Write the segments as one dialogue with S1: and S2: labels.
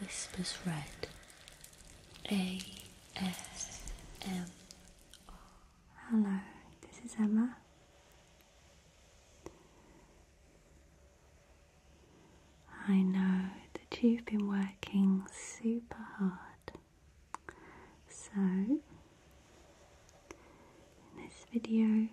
S1: Whispers Red A. S. M. Hello, this is Emma. I know that you've been working super hard, so in this video,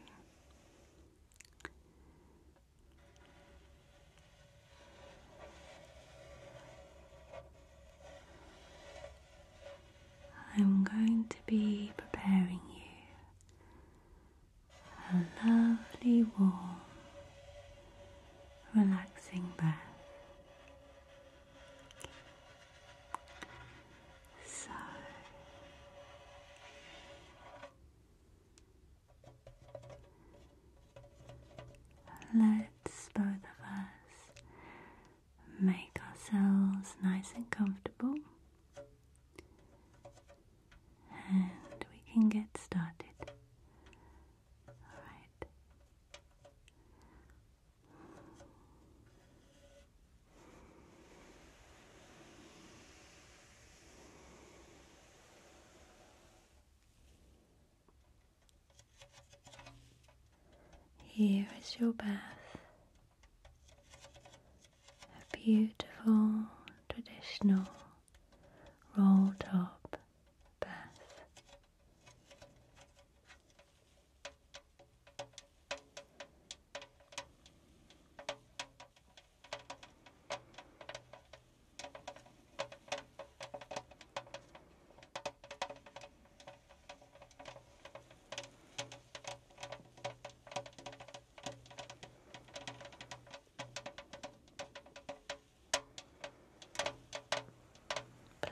S1: I'm going to be preparing you a lovely, warm, relaxing bath. So, Let's both of us make ourselves nice and comfortable, and we can get started. All right. Here is your bath, a beautiful traditional roll top bath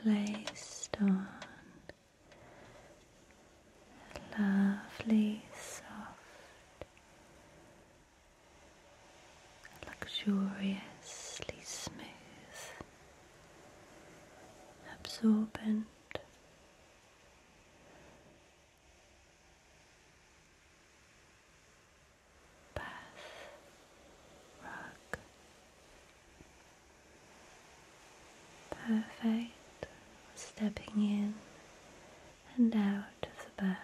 S1: placed on lovely soft luxuriously smooth, absorbent. Bath rug perfect stepping in and out of the bath.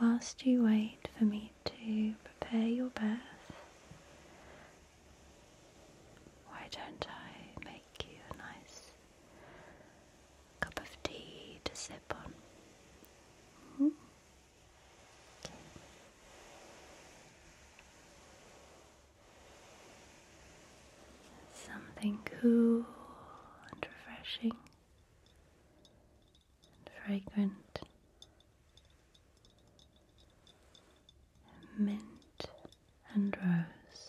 S1: Whilst you wait for me to prepare your bath, why don't I make you a nice cup of tea to sip on? Hmm? Something cool and refreshing and fragrant. Mint and rose.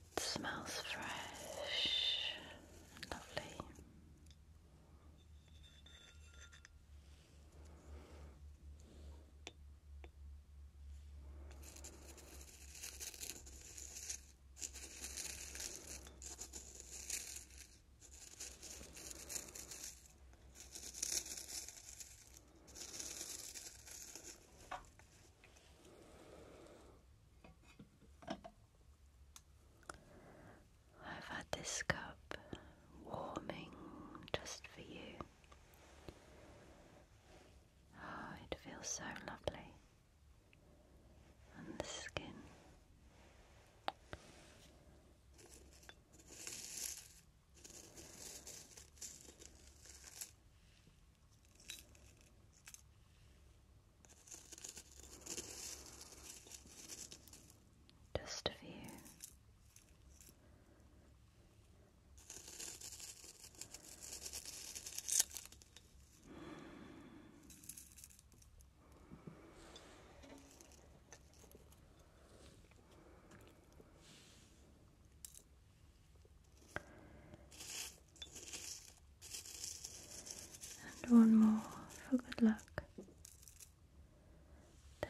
S1: It smells fresh lovely. I've had this cup warming just for you. Oh, it feels so lovely on the skin. Just a few and one more for good luck. There.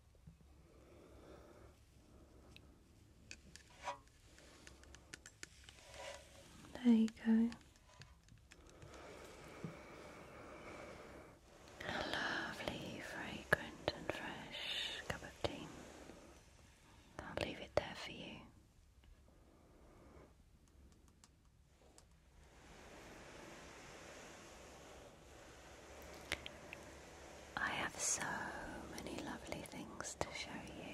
S1: There you go. lovely, fragrant, and fresh cup of tea. I'll leave it there for you. I have so many lovely things to show you.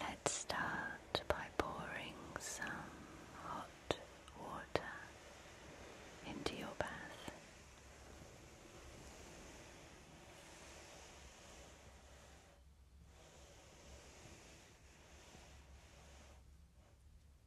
S1: Let's start by pouring some hot water into your bath.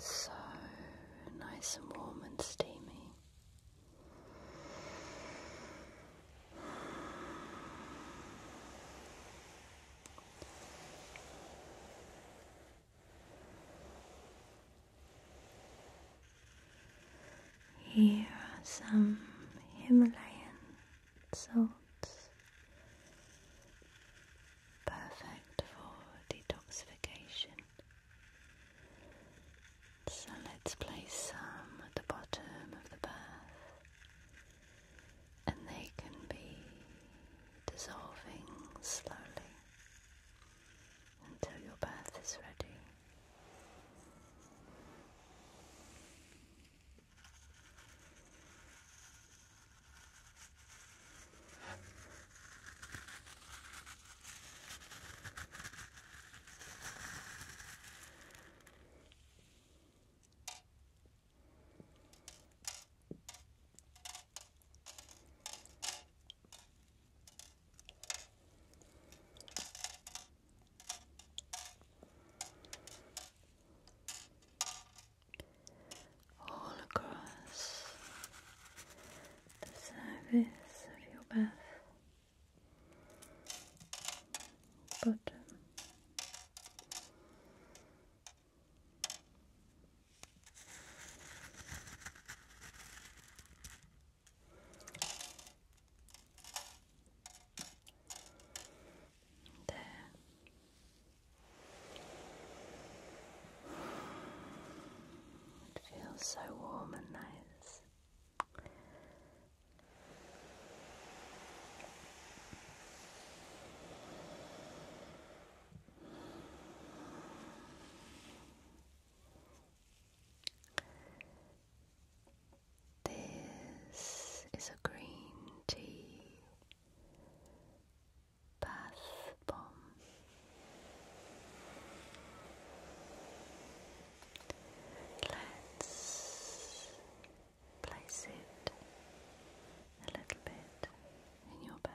S1: so nice and warm and steamy. Here are some Himalayan salts, perfect for detoxification. So let's place some at the bottom of the bath, and they can be dissolving slowly until your bath is ready all across the surface of your bath. But there. It feels so warm and nice. This is a green tea bath bomb. Let's place it a little bit in your bath.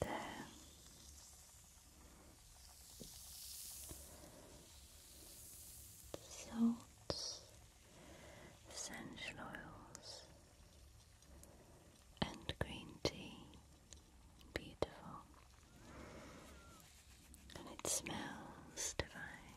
S1: There. Salts, essential oils, and green tea. Beautiful. And it smells divine.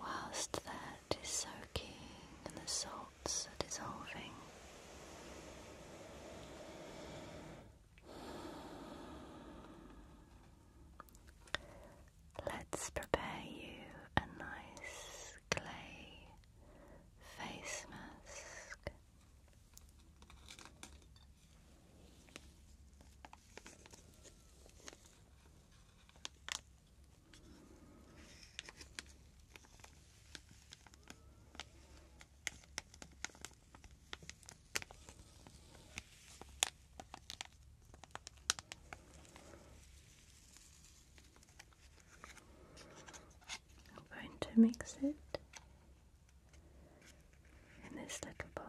S1: Whilst that is soaking and the salts are dissolving, let's prepare you a nice clay face mask. I'm going to mix it in this little box.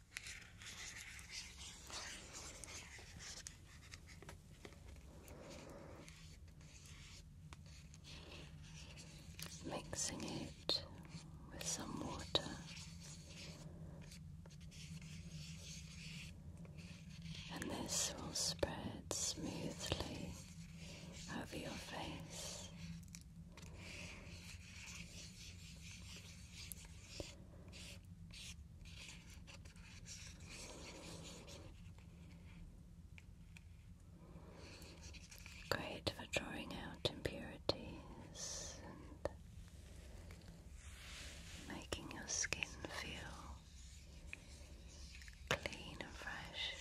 S1: Mixing it with some water and this will spread smoothly over your face Great for drawing out impurities and making your skin feel clean and fresh.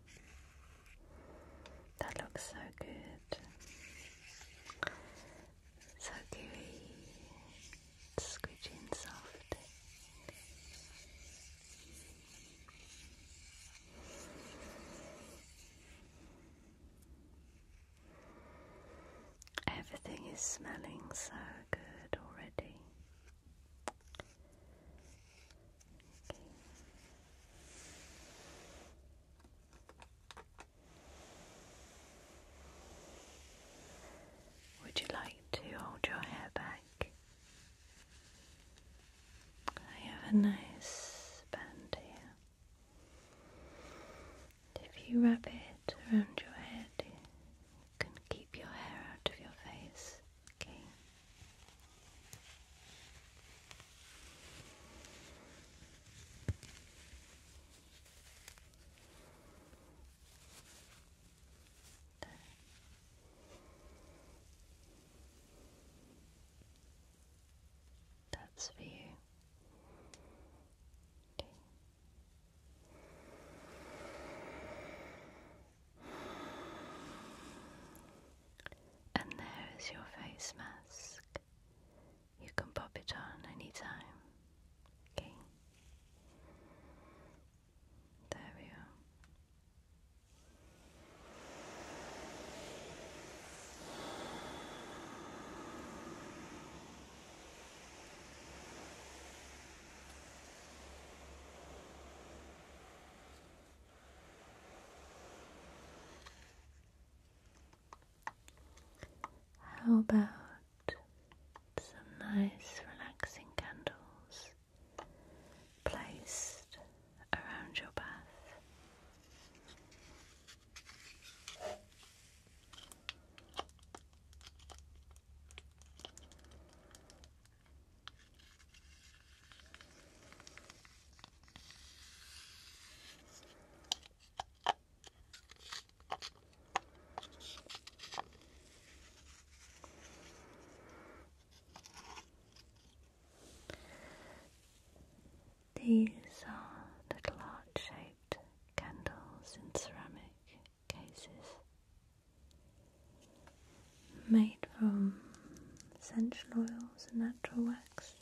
S1: That looks so good. So gooey, squidgy and soft. Everything is smelling so good already. Would you like to hold your hair back? I have a nice band here. If you wrap it around your head, you can keep your hair out of your face. Okay. That's for you. Okay. And there is your face mask. You can pop it on anytime. Okay? There we are. How about some nice relaxing candles placed around your bath? These are little heart shaped candles in ceramic cases made from essential oils and natural wax.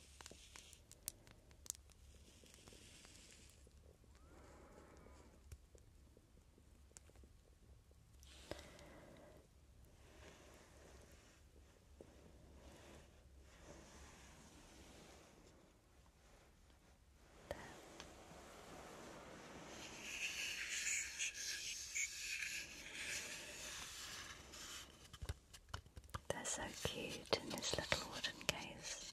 S1: They're so cute in this little wooden case.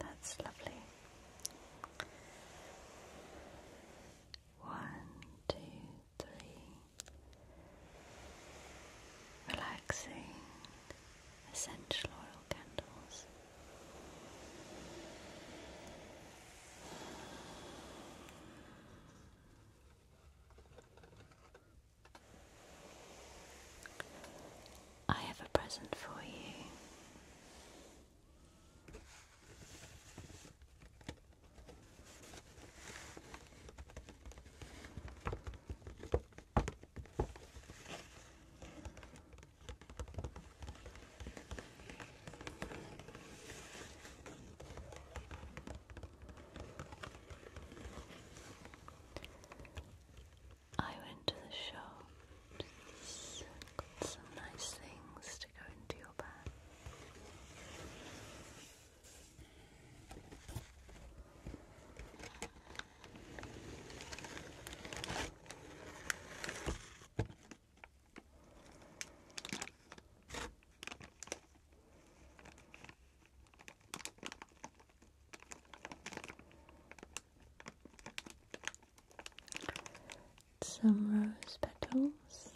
S1: That's lovely. One, two, deeply relaxing essential oil candles. I have a present for you. I went to the shop, got some nice things to go into your bag. Some rose petals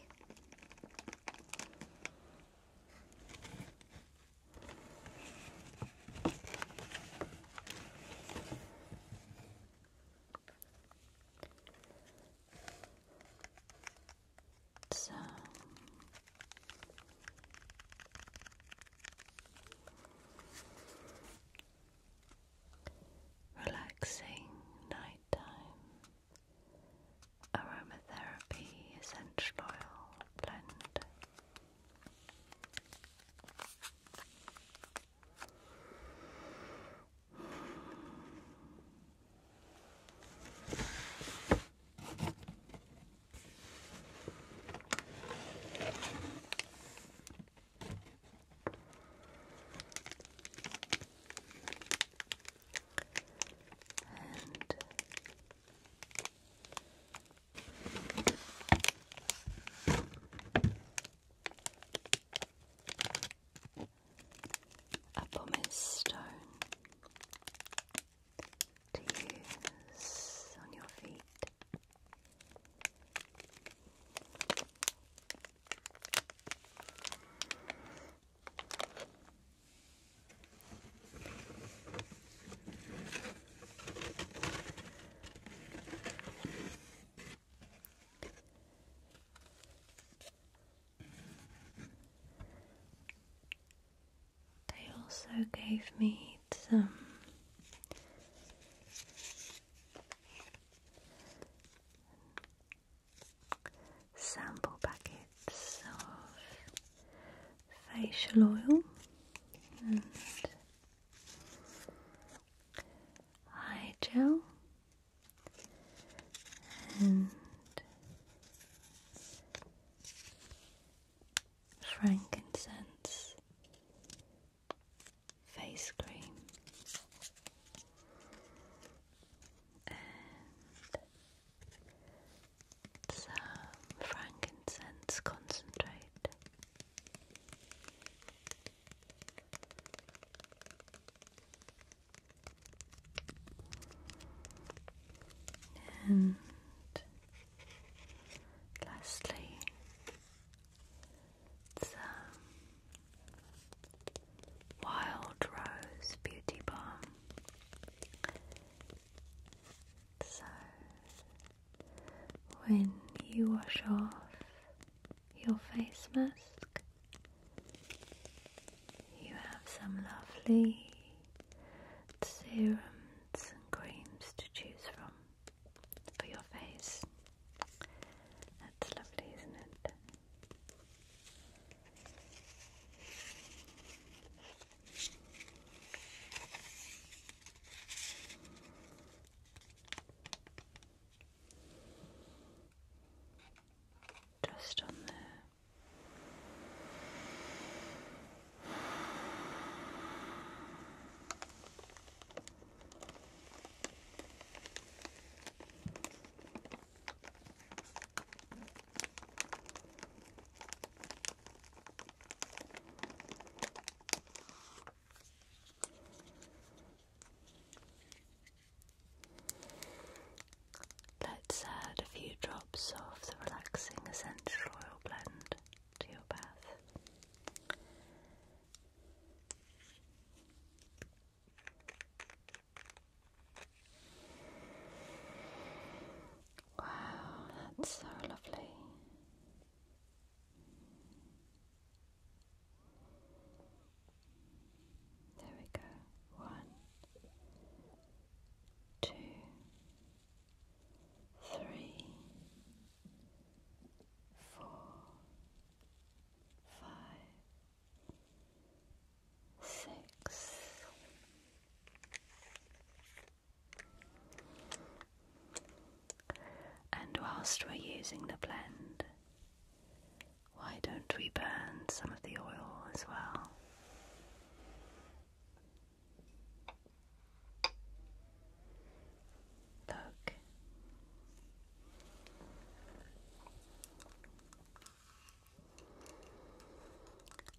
S1: so relaxing nighttime aromatherapy essential oil blend and a pumice stone to use on your feet. They also gave me some sample packets of facial oil and eye gel frankincense face cream and some frankincense concentrate. And lastly, some Wild Rose Beauty Balm. So, when you wash off your face mask, you have some lovely serums and creams to choose from for your face. That's lovely, isn't it? Just on there. Let's add a few drops of the relaxing essential oil blend to your bath. Wow, that's so lovely. There we go. One, two, three, four, five six, and whilst we're using the blend, why don't we burn some of the oil as well? Look.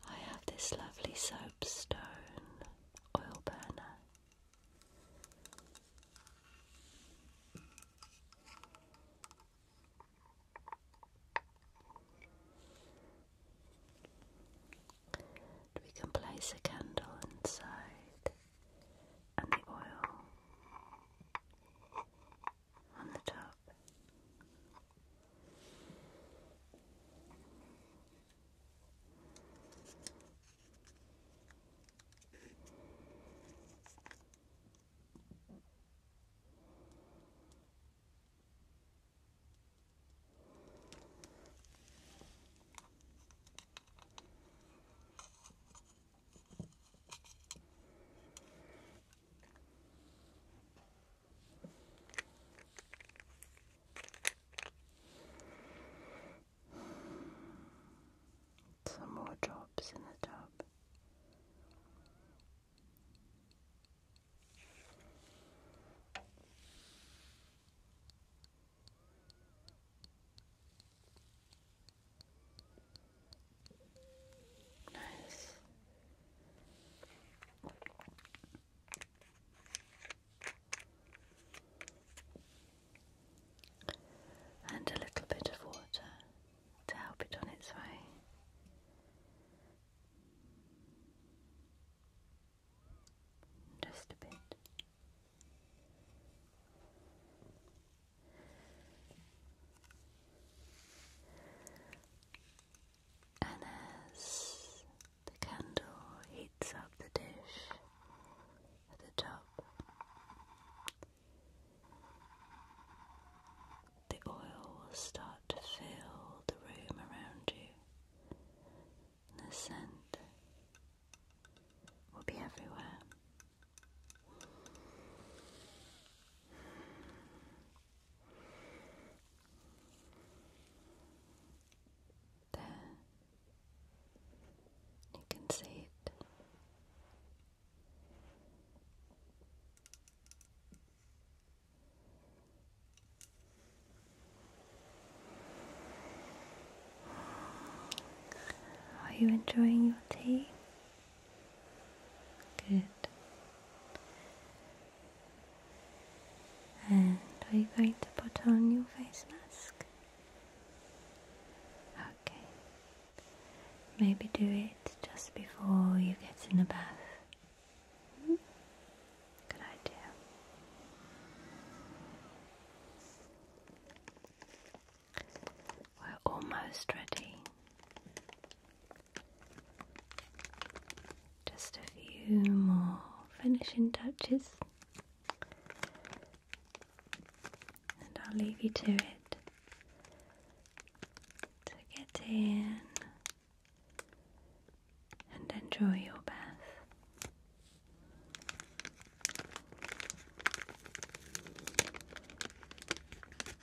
S1: I have this lovely soapstone oil burner. we can place a candle inside and the oil on the top. Some more drops in the tub. Nice. And a little bit of water to help it on its way. Just a bit. And as the candle heats up the dish at the top, the oil will start to fill the room around you. The scent will be everywhere. You can see it. Are you enjoying your tea? Good. And are you going to put on your face mask? Okay. Maybe do it just before you get in the bath. Hmm? Good idea. We're almost ready. Just a few more finishing touches, and I'll leave you to it to get in and enjoy your bath.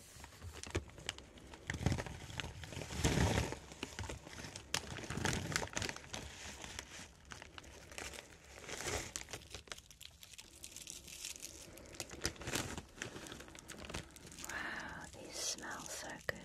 S1: Wow, these smell so good.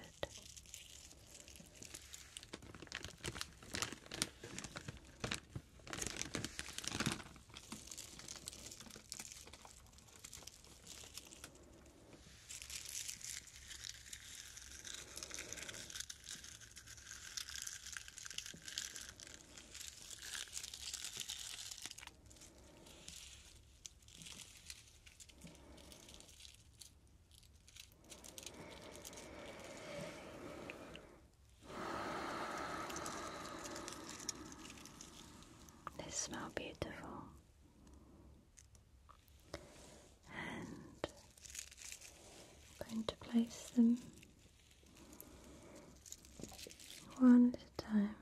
S1: They smell beautiful and I'm going to place them one at a time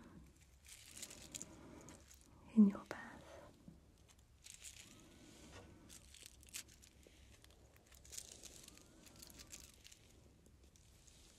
S1: in your bath.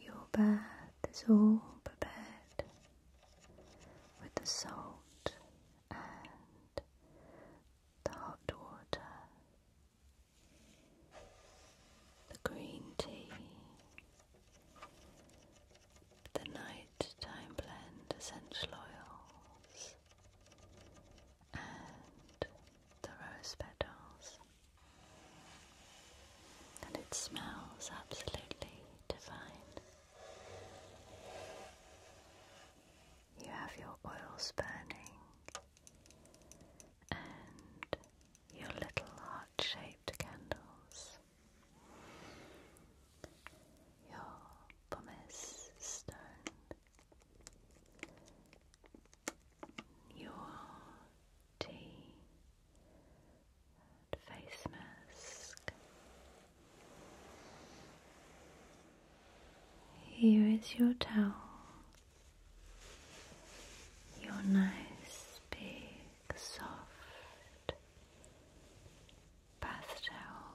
S1: Your bath is all prepared with the salt and the hot water, the green tea, the nighttime blend essential oils, and the rose petals and it smells absolutely divine. You have your oils burning and your little heart shaped candles, your pumice stone, your tea face mask. Here is your towel, your nice, big, soft bath towel.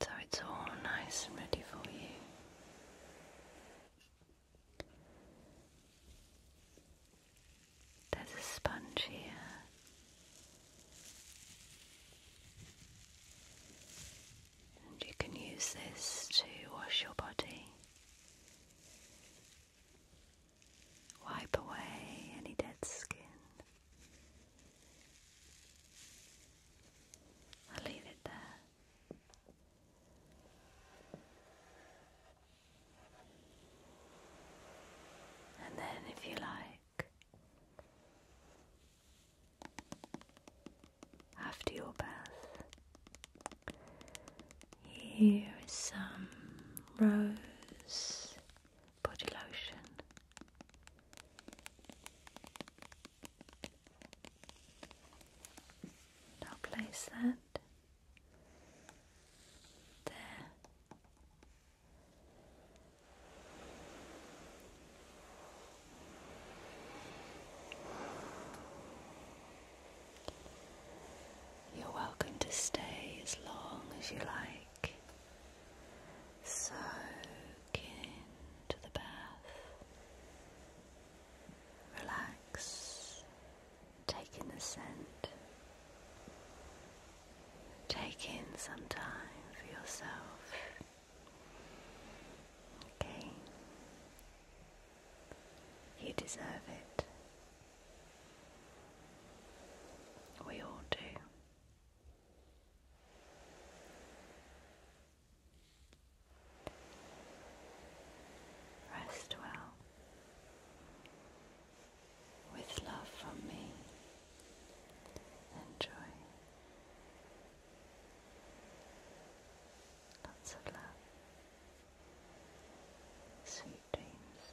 S1: so it's all nice and ready for you. There's a sponge here. And you can use this to wash your body, wipe away any dead skin, I'll leave it there. And then, if you like, after your bath, here is some rose body lotion. I'll place that there. You're welcome to stay as long as you like. So into the bath. Relax. Take in the scent. Take in some time for yourself. Okay. You deserve it. We all do. Rest well with love from me and joy. Lots of love. Sweet dreams.